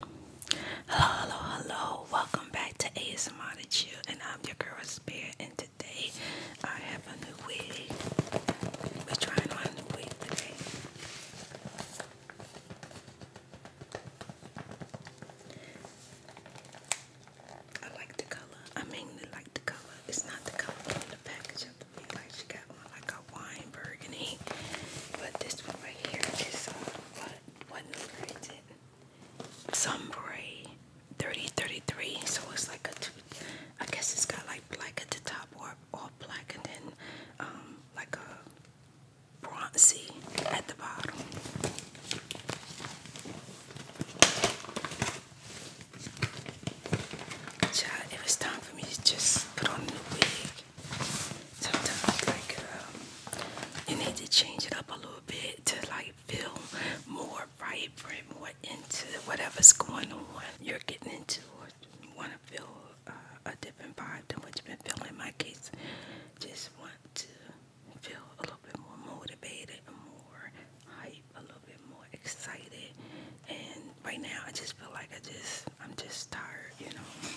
Hello, hello, hello. Welcome back to ASMR to Chill, and I'm your girl Spirit. And today I have a new wig. We're trying on a new wig today. I like the color. I mainly like the color. It's not the color on the package of the wig. she got one like a wine burgundy, but this one right here is um, what number is it? Sunbury 3033. So it's like a, I guess it's got like black at top or all black and then um like a bronzy at the bottom. Child, it was time for me to just put on the wig sometimes like you need to change it up a little bit to like feel more vibrant, more into whatever's going on you're getting into or want to feel uh, a different vibe than what you've been feeling. In my case, just want to feel a little bit more motivated, more hype, a little bit more excited. And right now, I just feel like I just, I'm just tired, you know.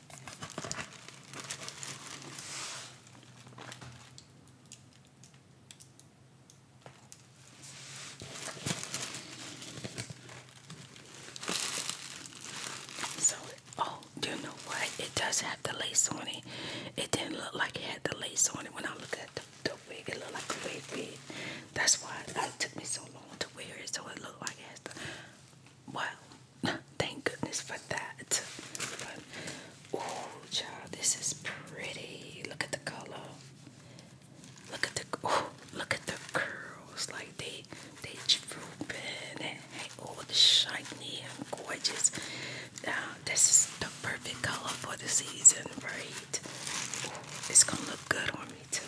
So, oh, you know what? It does have the lace on it. It didn't look like it had the lace on it when I looked at the, the wig. It looked like a wig wig. That's why it took me so long to wear it. So it looked like it has Thank goodness for that. But, oh, child, this is pretty. Look at the color. Look at the oh, look at the curls. Like they they drooping and all oh, shiny and gorgeous. Now this is the perfect color for the season, right? It's gonna look good on me too.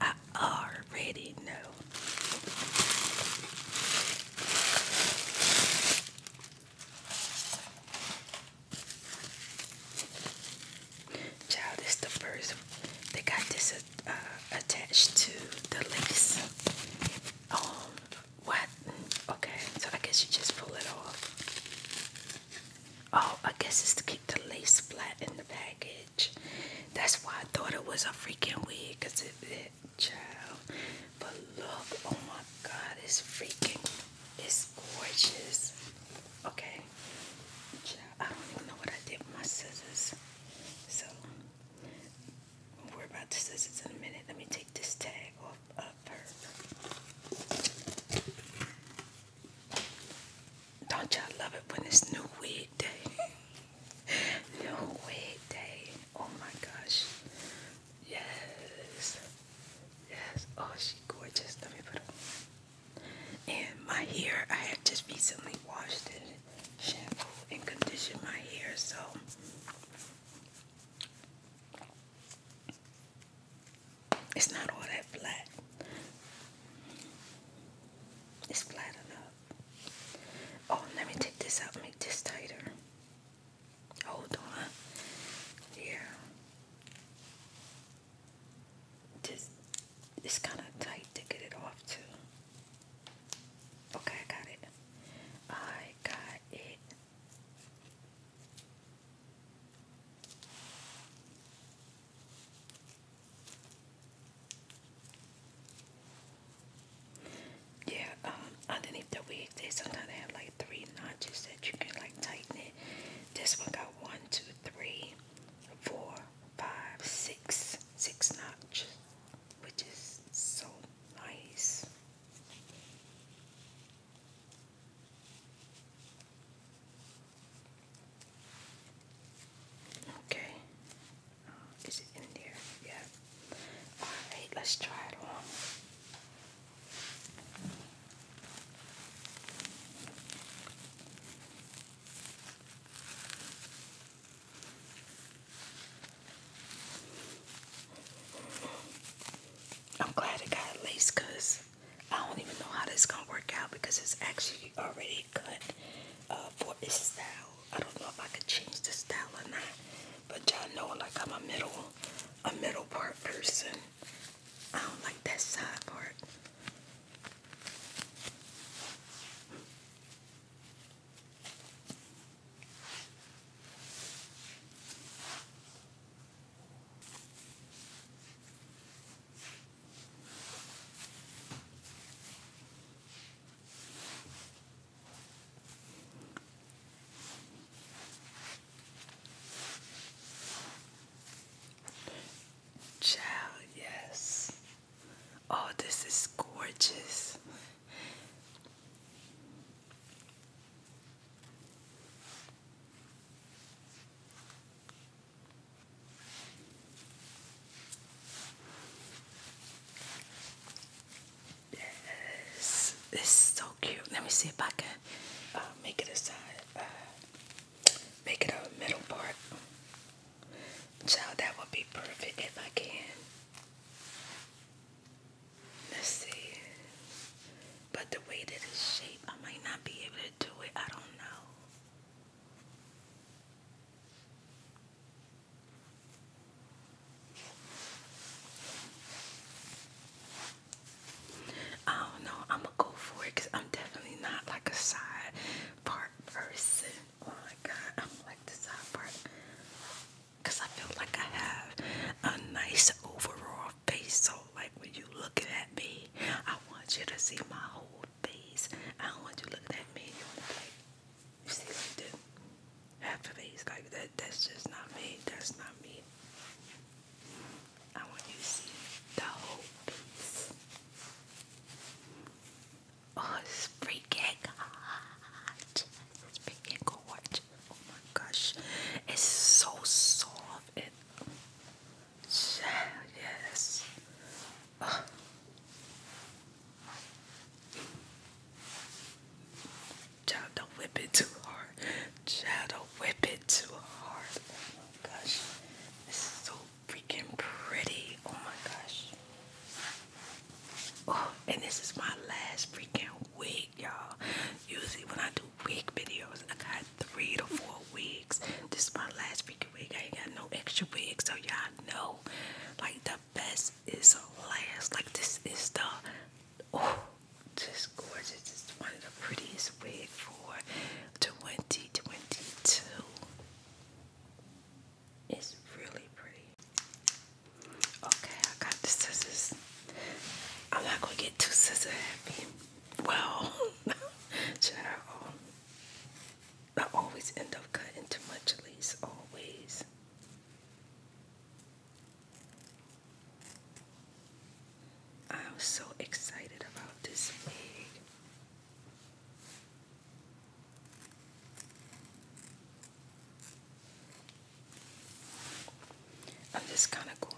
I already know. Child, this the first they got this uh, attached to the lace. Oh, what? Okay, so I guess you just pull it off. Oh, I guess it's to keep the lace flat in the package. That's why I thought it was a freaking wig, cause it, it child. But look, oh my God, it's freaking, it's gorgeous. Okay, child, I don't even know what I did with my scissors. So, we'll worry about the scissors in a minute. Let me take this tag off of her. Don't y'all love it when it's new Weird day? no wig day. Oh my gosh. Yes. Yes. Oh, she gorgeous. Let me put it on. And my hair, I had just recently washed it, shampoo and conditioned my hair, so it's not all that flat. It's flat enough. Oh, let me take this out, make this tighter. Hold on. Yeah. This it's kind of tight to get it off too. Okay, I got it. I got it. Yeah, um, underneath the wig, they sometimes have like three notches that you can like tighten it. This one got one, two, three, four, five, six, six notches, which is so nice. Okay, is it in there? Yeah. Alright, let's try it on. I'm glad it got lace because I don't even know how this is gonna work out because it's actually already cut uh, for its style. I don't know if I could change the style or not. But y'all know like I'm a middle a middle part person. I don't like that side part. Child, yes. Oh, this is gorgeous. Yes, this so cute. Let me see if I can uh, make it a side, uh, make it a middle part. Child, that would be perfect if I can. Let's see. But the way that it's shaped, I might not be able to do it. I don't know. I don't know. I'm gonna go for it because I'm definitely not like a side part person. Oh my god, I do like the side part because I feel like I have a nice overall face. So, like when you looking at me, I want you to see my whole face. I don't want you looking at me. You want to like See like the half of like that that's just not me. That's not me. I want you to see the whole piece. Oh, it's freaking hot. It's freaking gorgeous. Oh my gosh. It's so soft and yes. Oh. Child, don't whip it too hard. Child, don't whip it too hard. Oh my gosh. This is so freaking pretty. Oh my gosh. Oh, and this is my last freaking wig, y'all. Usually when I do wig videos, I got three to four wigs. This is my last freaking wig. I ain't got no extra wigs, so y'all know. Like the the best is last. Like this is the oh, just gorgeous. It's one of the prettiest wig for 2022. It's really pretty. Okay, I got the scissors. I'm not gonna get too scissors happy. Well, should I? I always end up cutting too much lace. Always. I'm so excited about this wig. I'm just kind of going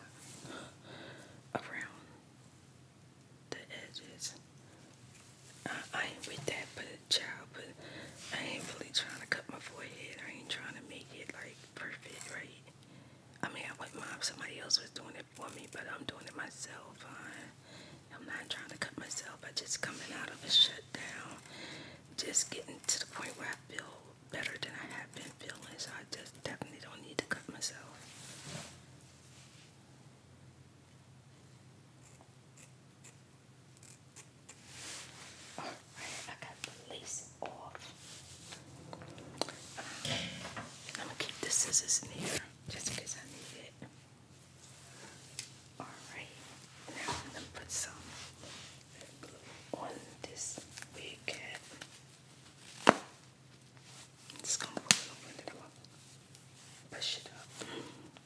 around the edges. I ain't with that, but good but I ain't really trying to cut my forehead. I ain't trying to make it like perfect, right? I mean, I wouldn't mind if somebody else was doing it for me, but I'm doing it myself. I, I'm not trying to cut myself. I just coming out of a shutdown, just getting to the point where I feel better than I have been feeling. So I just definitely don't need to cut myself. All right, I got the lace off. Uh, I'm gonna keep the scissors in here just in I need it. All right, now I'm gonna put some on this wig just gonna pull it over and then I'm it up.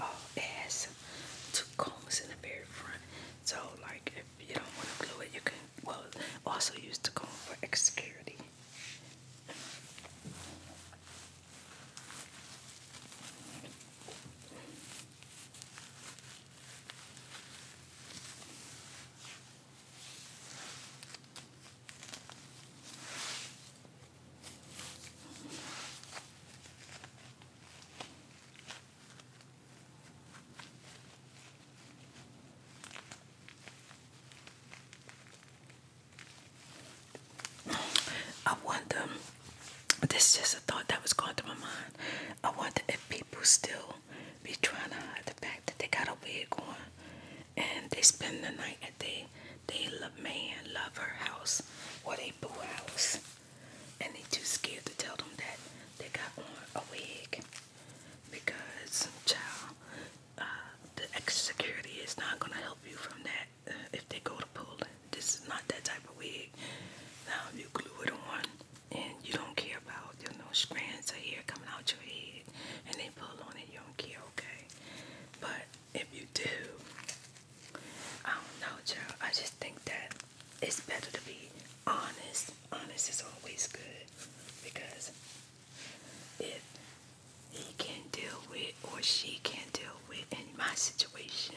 Oh, it two combs in the very front. So, like, if you don't want to glue it, you can well also use the comb for security. I wonder, this is just a thought that was going through my mind. I wonder if people still be trying to hide the fact that they got a wig on and they spend the night at they they love man love lover house what they boo house and they too scared to tell them that they got on a wig because child uh, the extra security is not gonna help you from that uh, if they go to pull this is not that type of wig now you glue it on and you don't care about you know strands of hair coming out your head and they pull on it you don't care okay but if you do, I don't know, child. I just think that it's better to be honest. Honest is always good because if he can't deal with or she can't deal with in my situation,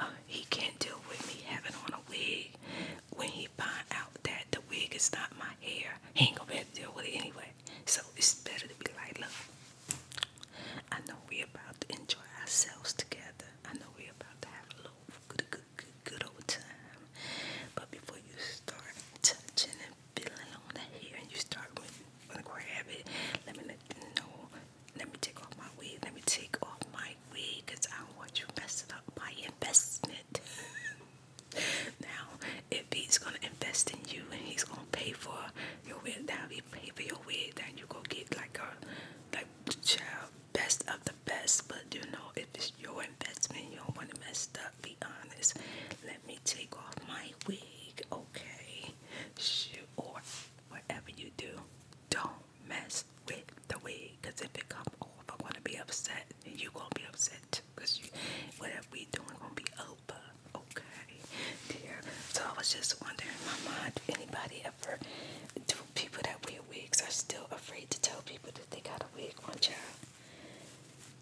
uh, he can't deal with me having on a wig when he find out that the wig is not my hair. He ain't gonna be able to deal with it anyway. So it's better to be like, look, I know we're about to enjoy ourselves together. I know we're about to have a little good, good, good, good old time. But before you start touching and feeling on the hair and you start with, want to grab let me know. Let me take off my wig. Let me take off my wig I don't want you messing up my investment. Now, if he's gonna invest in you and he's gonna pay for your wig, that'll be pay for your wig, then you go get like a like child best of the best. But you know, if it's your investment, you don't wanna mess up. Be honest. Let me take off my wig, okay? Shoot, or whatever you do, don't mess with the wig, cause if it come off, I'm gonna be upset, and you gonna be upset because whatever we doing gonna be over. Okay, So I was just wondering in my mind anybody ever do people that wear wigs are still afraid to tell people that they got a wig on child.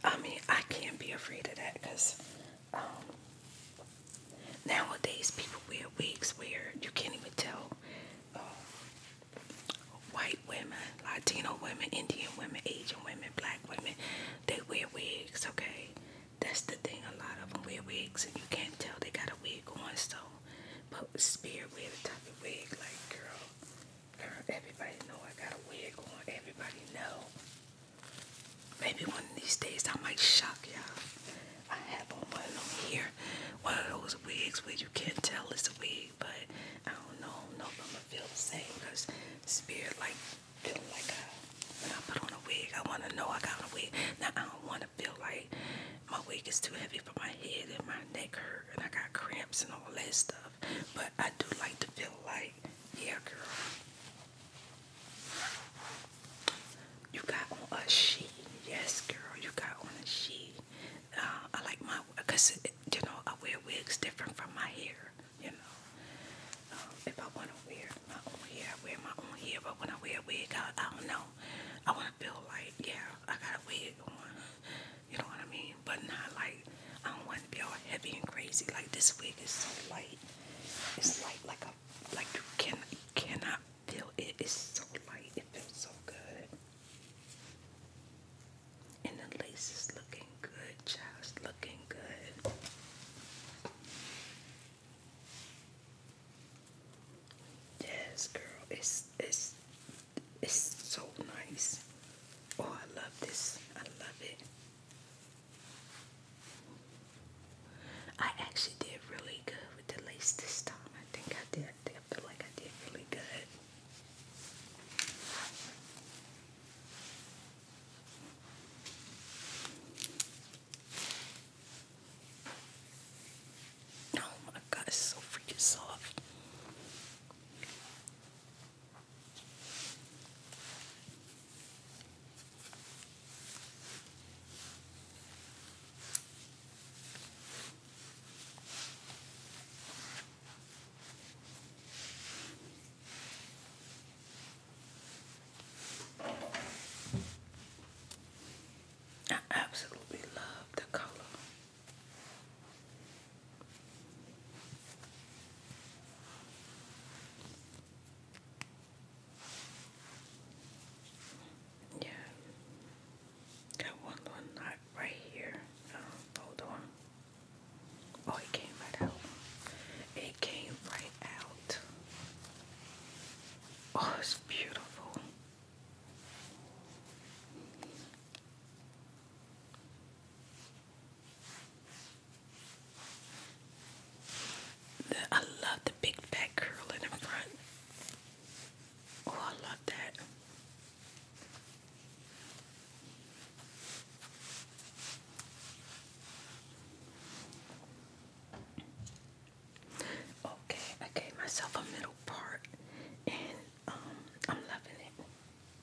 I mean, I can't be afraid of that because um, nowadays people wear wigs where you can't even tell uh, white women, Latino women, Indian women, Asian women, black women. They wear wigs, okay? That's the thing, a lot of them wear wigs, and you can't tell they got a wig on, so. But Spirit wear the type of wig, like, girl, everybody know I got a wig on, everybody know. Maybe one of these days I might shock y'all. I have on one on here, one of those wigs where you can't tell it's a wig, but I don't know, I do I'm gonna feel the same, because Spirit, like, feeling like I, uh, when I put on a wig, I want to know I got a wig. Now I don't want to feel like my wig is too heavy for my head and my neck hurt and I got cramps and all that stuff. But I do like to feel like, yeah, girl, you got on a sheet. Yes, girl, you got on a sheet. Uh, I like my, because, you know, I wear wigs different from my hair you know. Um, if I want to wear my own hair, I wear my own hair. But when I wear a wig, I, I don't know. I want to feel like, yeah, I got a wig on. You know what I mean? But not like, I don't want to be all heavy and crazy. Like this wig is so light. It's light like a, like you can, you cannot feel it. It's so light. It feels so good. And the lace is looking looking good, child. looking good. Yes, girl. It's it's it's so nice. Oh, I love this. I love it. I actually did really good with the lace this time. I think I did. I feel like I did really good. Oh my god, it's so freaking soft. I absolutely love the color. Yeah, got one one knot right here. Uh, hold on. Oh, it came right out. It came right out. Oh, it's beautiful. The, I love the big fat curl in the front. Oh, I love that. Okay, I gave myself a middle part and um, I'm loving it.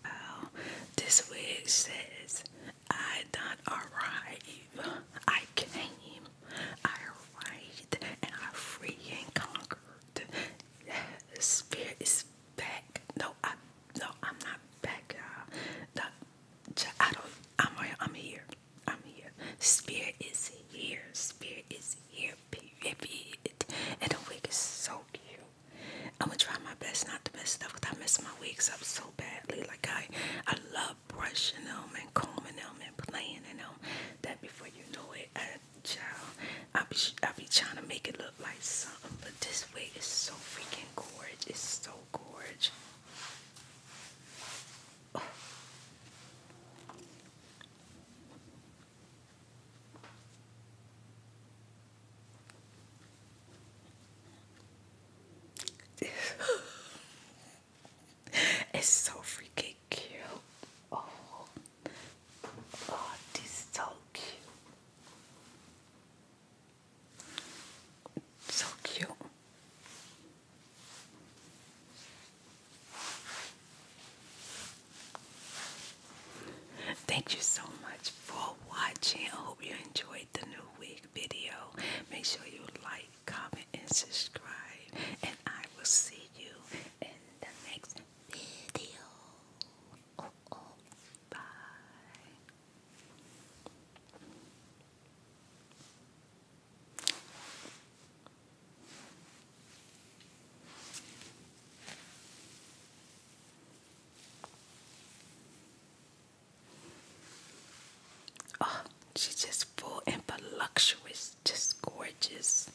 Wow, this wig says, I not arrive, I came, I arrived, and I free and conquered. Spirit is back. No, I, no, I'm not back, y'all. The I I'm. I'm here. I'm here. Spirit is here. Spirit is here. And the wig is so cute. I'm gonna try my best not to mess stuff, up because I mess my wigs up so badly. Like I, I love brushing them and combing them and playing in them. That before you know it, I, child, I be, I be trying to make it look like something. But this wig is so freaking gorgeous. so gorge. Oh. it's so freaking cute. Oh, oh, this is so cute. So cute. Thank you so much for watching. I hope you enjoyed the new week video. Make sure you like, comment, and subscribe. And I will see you in the next video. Oh, oh, bye. Oh, she's just full and voluptuous, just gorgeous.